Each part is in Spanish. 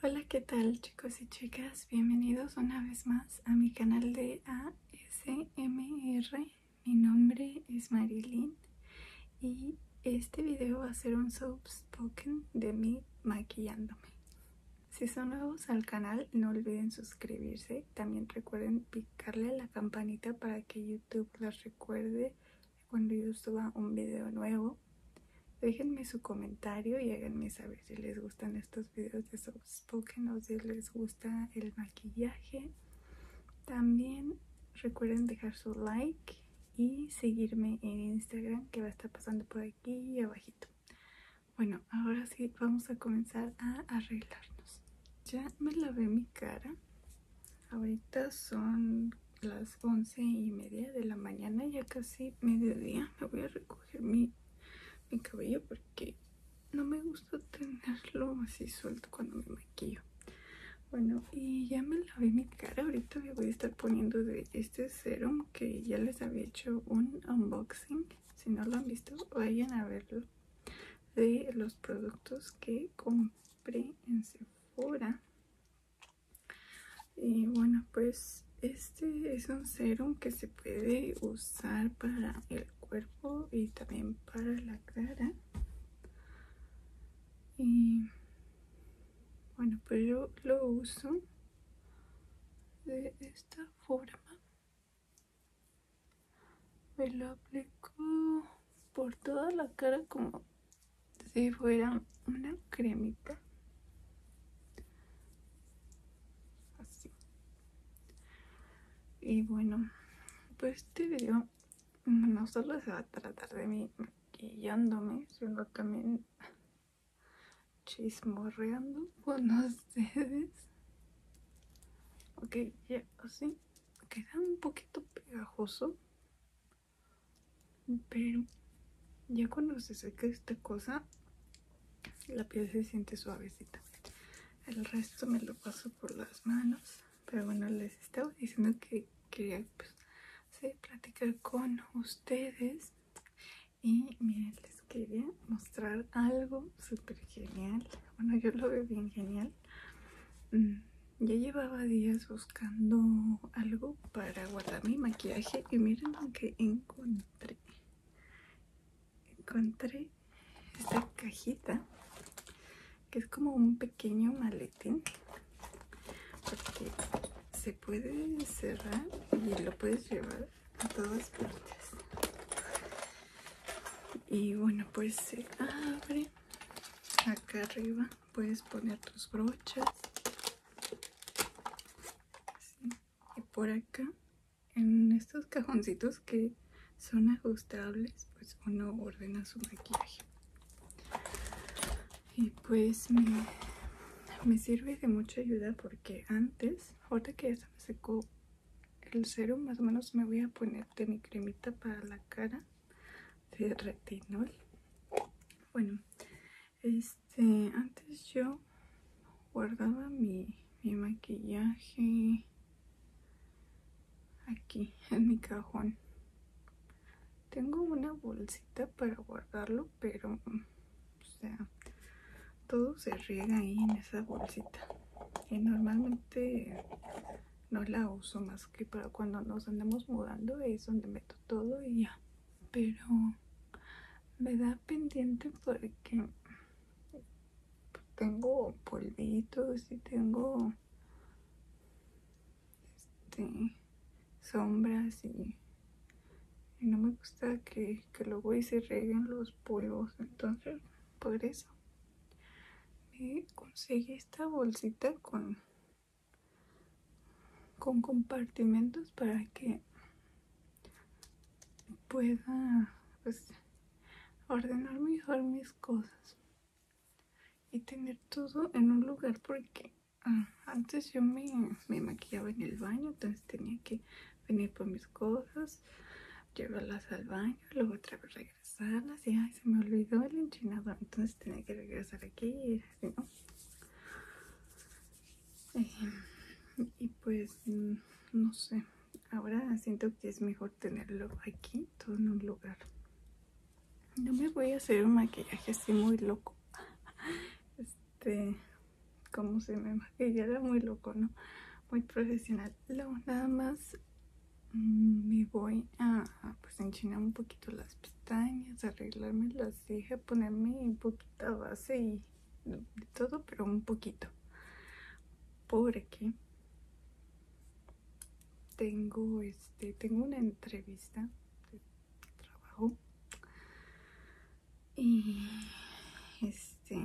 Hola qué tal chicos y chicas, bienvenidos una vez más a mi canal de ASMR Mi nombre es Marilyn y este video va a ser un soapspoken de mí maquillándome Si son nuevos al canal no olviden suscribirse, también recuerden picarle a la campanita para que YouTube los recuerde cuando yo suba un video nuevo. Déjenme su comentario y háganme saber si les gustan estos videos de soft spoken o si les gusta el maquillaje. También recuerden dejar su like y seguirme en Instagram que va a estar pasando por aquí abajito. Bueno, ahora sí vamos a comenzar a arreglarnos. Ya me lavé mi cara. Ahorita son las once y media de la mañana, ya casi mediodía. Me voy a recoger mi, mi cabello porque no me gusta tenerlo así suelto cuando me maquillo. Bueno, y ya me lavé mi cara. Ahorita me voy a estar poniendo de este serum que ya les había hecho un unboxing. Si no lo han visto, vayan a verlo. De los productos que compré en Sephora. Y bueno, pues este es un serum que se puede usar para el cuerpo y también para la cara. Y bueno, pues yo lo uso de esta forma. Me lo aplico por toda la cara como si fuera una cremita así y bueno pues este video no solo se va a tratar de mí maquillándome sino también chismorreando con ustedes ok ya así queda un poquito pegajoso pero ya cuando se seca esta cosa, la piel se siente suavecita. El resto me lo paso por las manos. Pero bueno, les estaba diciendo que quería pues, platicar con ustedes. Y miren, les quería mostrar algo súper genial. Bueno, yo lo veo bien genial. Mm. Ya llevaba días buscando algo para guardar mi maquillaje y miren lo que encontré. Encontré esta cajita que es como un pequeño maletín porque se puede cerrar y lo puedes llevar a todas partes. Y bueno, pues se abre acá arriba puedes poner tus brochas y por acá en estos cajoncitos que son ajustables pues uno ordena su maquillaje y pues me, me sirve de mucha ayuda porque antes ahorita que ya se me secó el cero más o menos me voy a poner de mi cremita para la cara de retinol bueno este, antes yo guardaba mi, maquillaje aquí en mi cajón. Tengo una bolsita para guardarlo, pero, todo se riega ahí en esa bolsita. Y normalmente no la uso más que para cuando nos andamos mudando, es donde me todo y ya pero me da pendiente porque tengo polvitos y tengo este, sombras y, no me gusta que, luego y se reguen los polvos entonces por eso me conseguí esta bolsita con con compartimentos para que pueda pues, ordenar mejor mis cosas y tener todo en un lugar porque ah, antes yo me, me, maquillaba en el baño entonces tenía que venir por mis cosas llevarlas al baño luego otra vez regresarlas y ay se me olvidó el enchinado entonces tenía que regresar aquí eh, y pues, mm, no sé, ahora siento que es mejor tenerlo aquí, todo en un lugar. No me voy a hacer un maquillaje así muy loco. Este, como se me era muy loco, ¿no? Muy profesional. Luego nada más mm, me voy a pues enchinar un poquito las arreglarme las cejas, ponerme un poquito base y todo, pero un poquito. Porque tengo este, tengo una entrevista de trabajo y este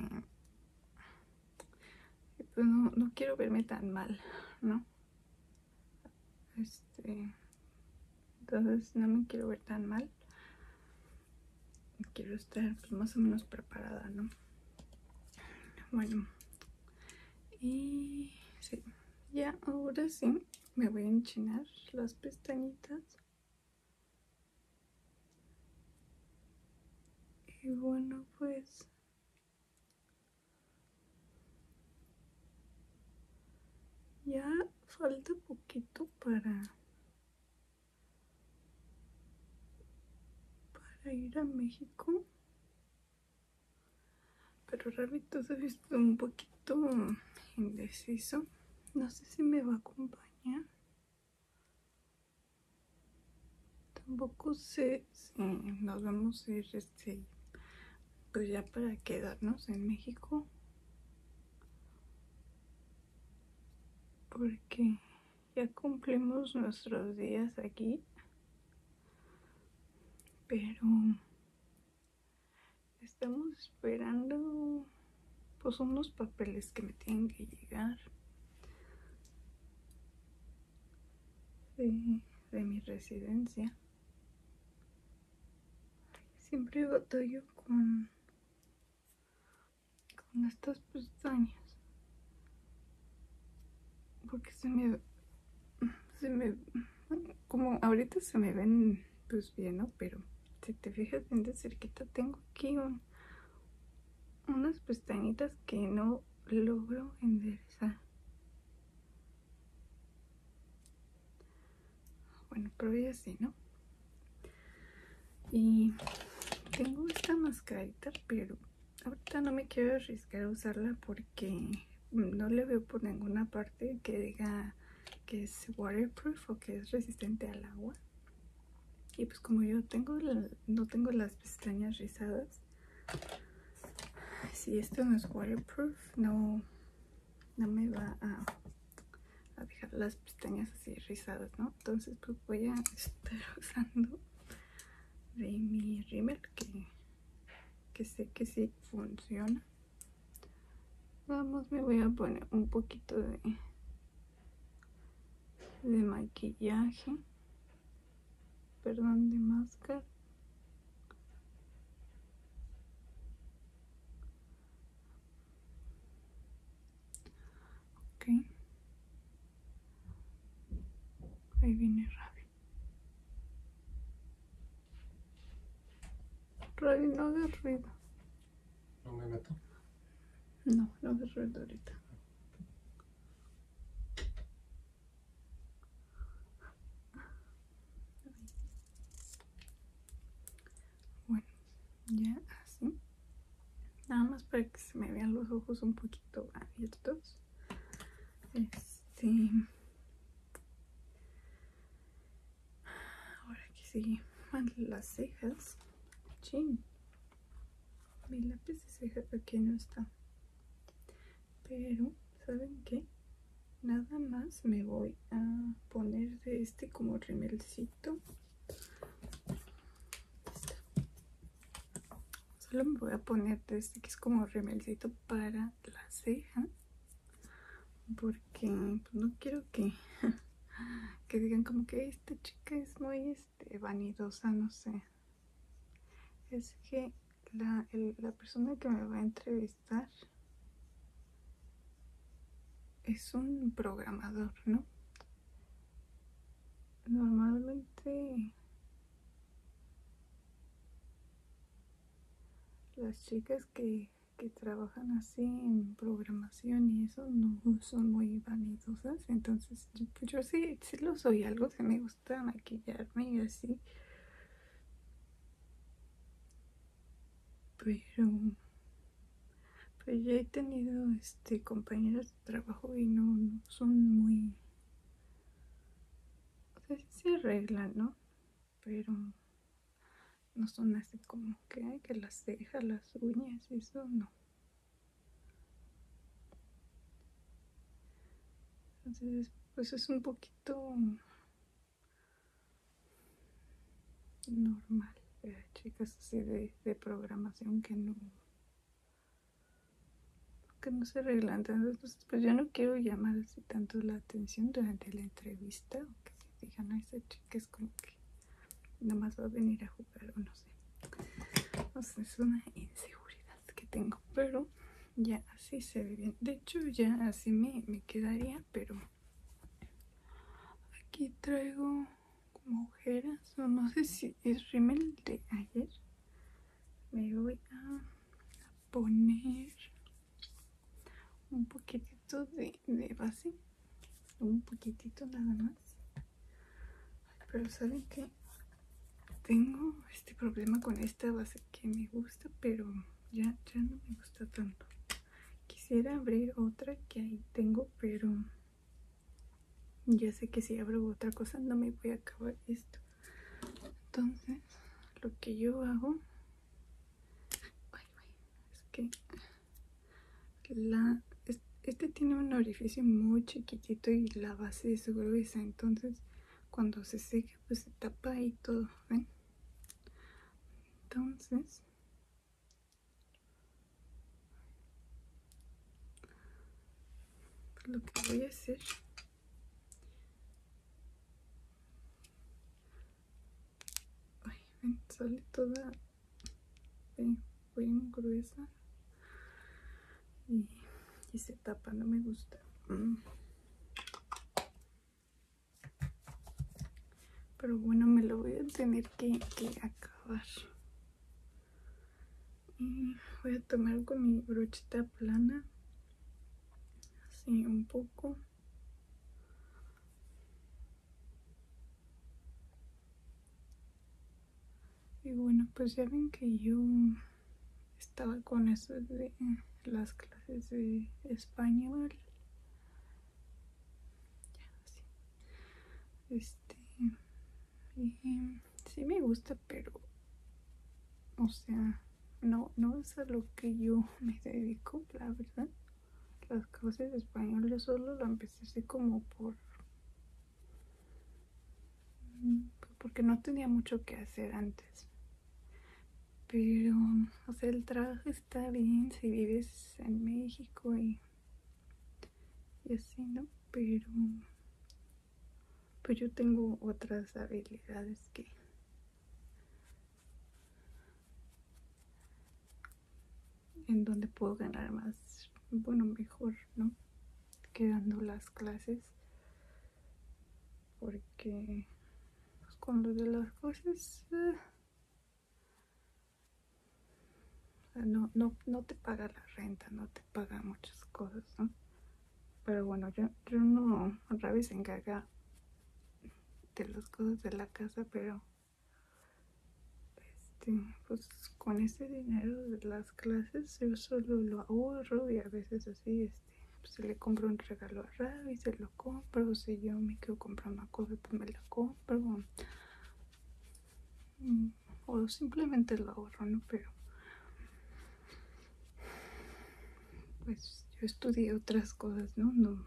pues no, no quiero verme tan mal, ¿no? Este, entonces no me quiero ver tan mal. Quiero estar pues, más o menos preparada, ¿no? Bueno. Y sí. Ya ahora sí me voy a enchinar las pestañitas. Y bueno, pues ya falta poquito para para ir a México. Pero realmente se visto un poquito indeciso. No sé si me va a acompañar. Tampoco sé sí, pues, eh, nos vamos a ir este, pues ya para quedarnos en México. Porque ya cumplimos nuestros días aquí. Pero estamos esperando pues unos papeles que me tienen que llegar de mi residencia siempre batallo con con estas pestañas porque se me se me como ahorita se me ven pues bien no pero si te fijas bien de cerquita tengo aquí unas pestañitas que no logro enderezar Ah, bueno, pero así, ¿no? Y tengo esta mascarita, pero ahorita no me quiero arriesgar a usarla porque no le veo por ninguna parte que diga que es waterproof o que es resistente al agua. Y pues como yo tengo no tengo las pestañas rizadas, si esto no es waterproof no no me va a, dejar las pestañas así rizadas no entonces pues voy a estar usando de mi rímel que, que sé que sí funciona vamos me voy a poner un poquito de de maquillaje perdón de máscara ok ahí viene Ravi Ravi no de ruido no me meto no no de ruido ahorita bueno, ya así. Nada más para que se me vean los ojos un poquito abiertos. Este. Ahora que sigue. Las cejas. Chin. Mi lápiz de ceja aquí no está pero saben qué nada más me voy a poner de este como remelcito solo me voy a poner de este que es como remelcito para la ceja porque pues, no quiero que que digan como que esta chica es muy este vanidosa no sé es que la, persona que me va a entrevistar es un programador, ¿no? Normalmente las chicas que, trabajan así en programación y eso no son muy vanidosas, entonces yo, sí, lo soy, algo que me gusta maquillarme y así. Pero pues ya he tenido este compañeros de trabajo y no, son muy se arreglan no pero no son así como que que las cejas las uñas eso no entonces pues es un poquito normal eh, chicas así de, programación que no que no se arreglan entonces pues, yo no quiero llamar así tanto la atención durante la entrevista o que se digan a esa chica es como que nada más va a venir a jugar o no sé no sé es una inseguridad que tengo pero ya así se ve bien. De hecho, ya así me, quedaría, pero aquí traigo como ojeras, no sé si es rímel de ayer. Me voy a poner un poquitito de base, un poquitito nada más pero saben que tengo este problema con esta base que me gusta, pero ya, no me gusta tanto. Quisiera abrir otra que ahí tengo, pero ya sé que si abro otra cosa no me voy a acabar esto. Entonces, lo que yo hago es que la, este tiene un orificio muy chiquitito y la base es gruesa, entonces cuando se seque pues se tapa y todo ven entonces pues, lo que voy a hacer ay ven sale toda voy eh, bien gruesa y, se tapa, no me gusta. Mm. Pero bueno, me lo voy a tener que, que acabar. Mm, voy a tomar con mi brochita plana. Así un poco. Y bueno, pues ya ven que yo estaba con eso de las clases de español. Ya, así. Este. sí me gusta, pero. O sea, no, no es a lo que yo me dedico, la verdad. Las clases de español yo solo lo empecé así como por porque no tenía mucho que hacer antes. Pero, o el trabajo está bien si vives en México y, y así, ¿no? Pero, pues yo tengo otras habilidades que... en donde puedo ganar más, bueno, mejor, ¿no? quedando las clases porque pues, con lo de las cosas eh, no, no, no te paga la renta, no te paga muchas cosas, Pero bueno, yo, no, Ravi se encarga de las cosas de la casa, pero este, pues con ese dinero de clases yo solo lo ahorro y a veces así este pues, se le compro un regalo a Ravi se lo compro si yo me quiero comprar una cosa pues me la compro mm, o, simplemente lo ahorro no pero pues yo estudié otras cosas no no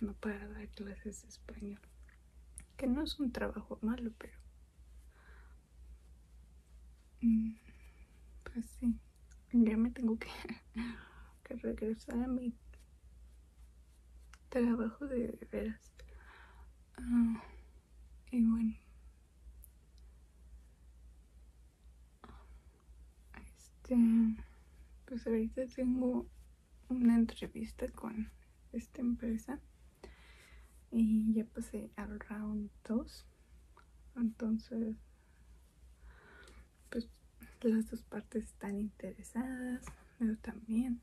no para dar clases de español que no es un trabajo malo pero Mm, pues sí, ya me tengo que, regresar a mi trabajo de veras. Ah, y bueno. Este, pues ahorita tengo una entrevista con esta empresa y ya pasé al round 2 entonces pues las dos partes están interesadas yo también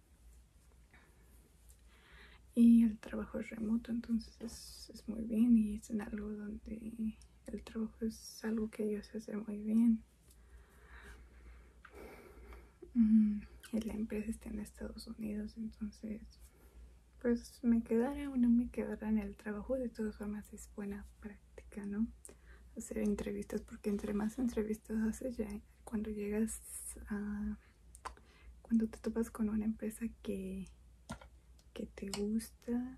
y el trabajo es remoto entonces es, es muy bien y es algo donde el trabajo es algo que ellos hacen muy bien mm, y la empresa está en Estados Unidos entonces pues me quedaré o no me quedara en el trabajo, de todas formas es buena práctica, ¿no? Hacer entrevistas, porque entre más entrevistas haces ya cuando llegas a... cuando te topas con una empresa que, que te gusta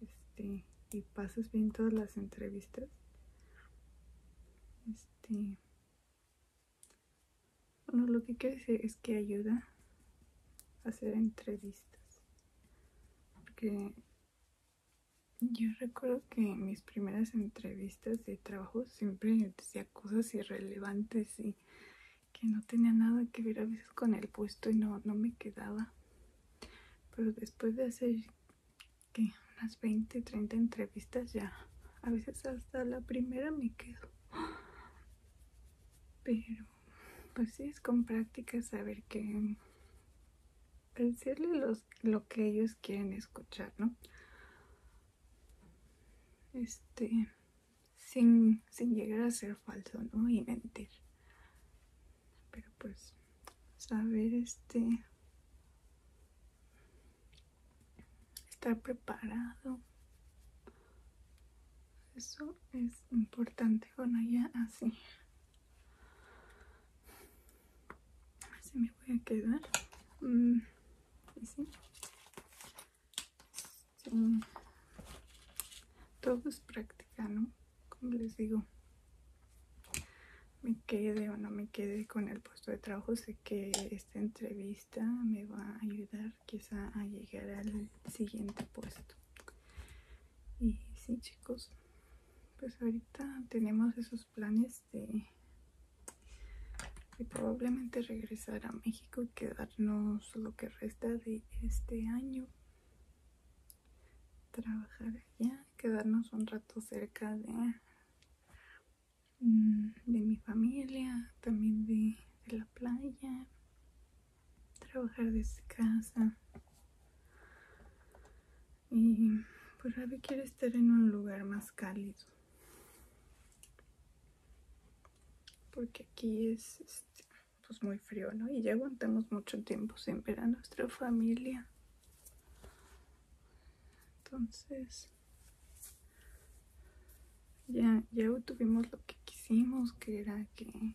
este, y pasas bien todas las entrevistas, este, bueno, lo que quiero decir es que ayuda a hacer entrevistas. Porque yo recuerdo que en mis primeras entrevistas de trabajo siempre decía cosas irrelevantes y que no tenía nada que ver a veces con el puesto y no, me quedaba. Pero después de hacer unas 20, 30 entrevistas ya, a veces hasta la primera me quedo. Pero, pues sí, es con práctica saber que pues, decirles lo que ellos quieren escuchar, ¿no? Este, sin, sin llegar a ser falso, ¿no? Y mentir. Pero pues, saber este, estar preparado. Eso es importante con ella así. Así me voy a quedar. Mm, Todo es práctica, Como les digo. Me quede o no me quede con el puesto de trabajo. Sé que esta entrevista me va a ayudar quizá a llegar al siguiente puesto. Y sí chicos, pues ahorita tenemos esos planes de, de probablemente regresar a México y quedarnos lo que resta de este año. Trabajar allá, quedarnos un rato cerca de Mm, de mi familia, también de, la playa, trabajar desde casa. Y pues Ravi quiere estar en un lugar más cálido. Porque aquí es este, pues muy frío, ¿no? Y ya aguantamos mucho tiempo sin ver a nuestra familia. Entonces, ya, ya obtuvimos lo que quisimos, que era que,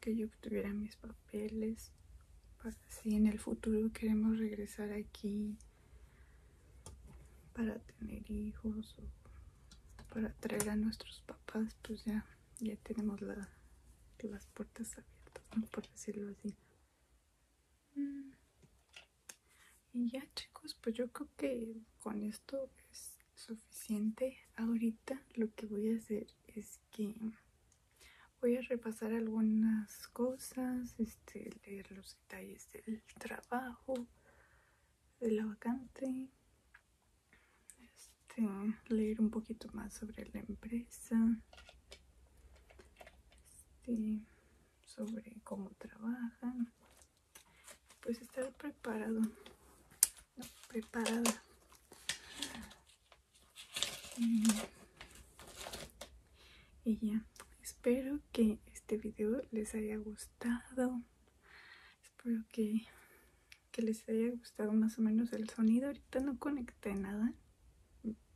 que yo obtuviera mis papeles, para si en el futuro queremos regresar aquí para tener hijos o para traer a nuestros papás, pues ya, ya tenemos las puertas abiertas, por decirlo así y ya chicos pues yo creo que con esto es suficiente ahorita lo que voy a hacer es que voy a repasar algunas cosas este leer los detalles del trabajo de la vacante este leer un poquito más sobre la empresa este sobre cómo trabajan pues estar preparado preparada mm. y ya espero que este video les haya gustado espero que, les haya gustado más o menos el sonido ahorita no conecté nada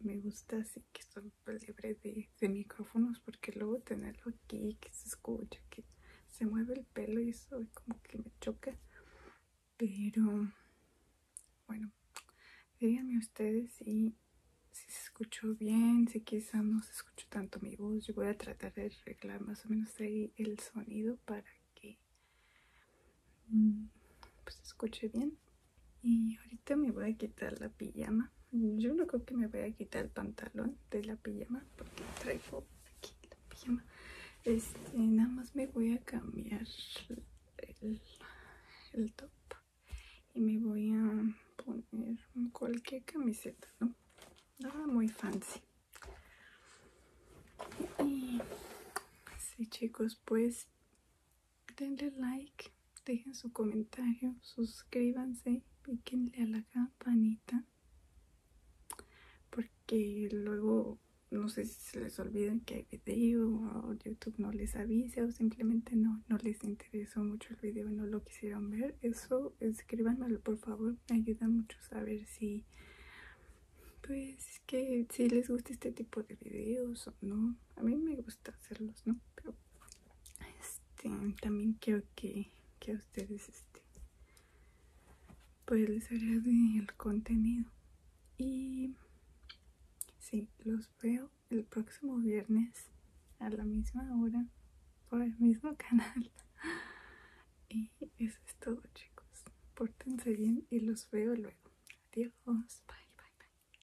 me gusta así que son pues libre de, micrófonos porque luego tenerlo aquí, que se escucha, que se mueve el pelo y eso como que me choca. Pero bueno, díganme ustedes si, se escuchó bien, si quizá no se escuchó tanto mi voz. Yo voy a tratar de arreglar más o menos ahí el sonido para que mm, pues, se escuche bien. Y ahorita me voy a quitar la pijama. Yo no creo que me voy a quitar el pantalón de la pijama porque traigo aquí la pijama. Este, nada más me voy a cambiar el, el top y me voy a poner cualquier camiseta, ¿no? Nada muy fancy. Y así chicos, pues denle like, dejen su comentario, suscríbanse, piquenle a la campanita, porque luego no sé si se les olviden que hay video o YouTube no les avisa o simplemente no, no les interesó mucho el video, no lo quisieron ver. Eso escríbanmelo por favor, me ayuda mucho saber si pues que si les gusta este tipo de videos o no. A mí me gusta hacerlos, ¿no? Pero este también quiero que, que a ustedes este pues les el contenido y sí los veo el próximo viernes a la misma hora por el mismo canal y eso es todo chicos pórtense bien y los veo luego adiós bye bye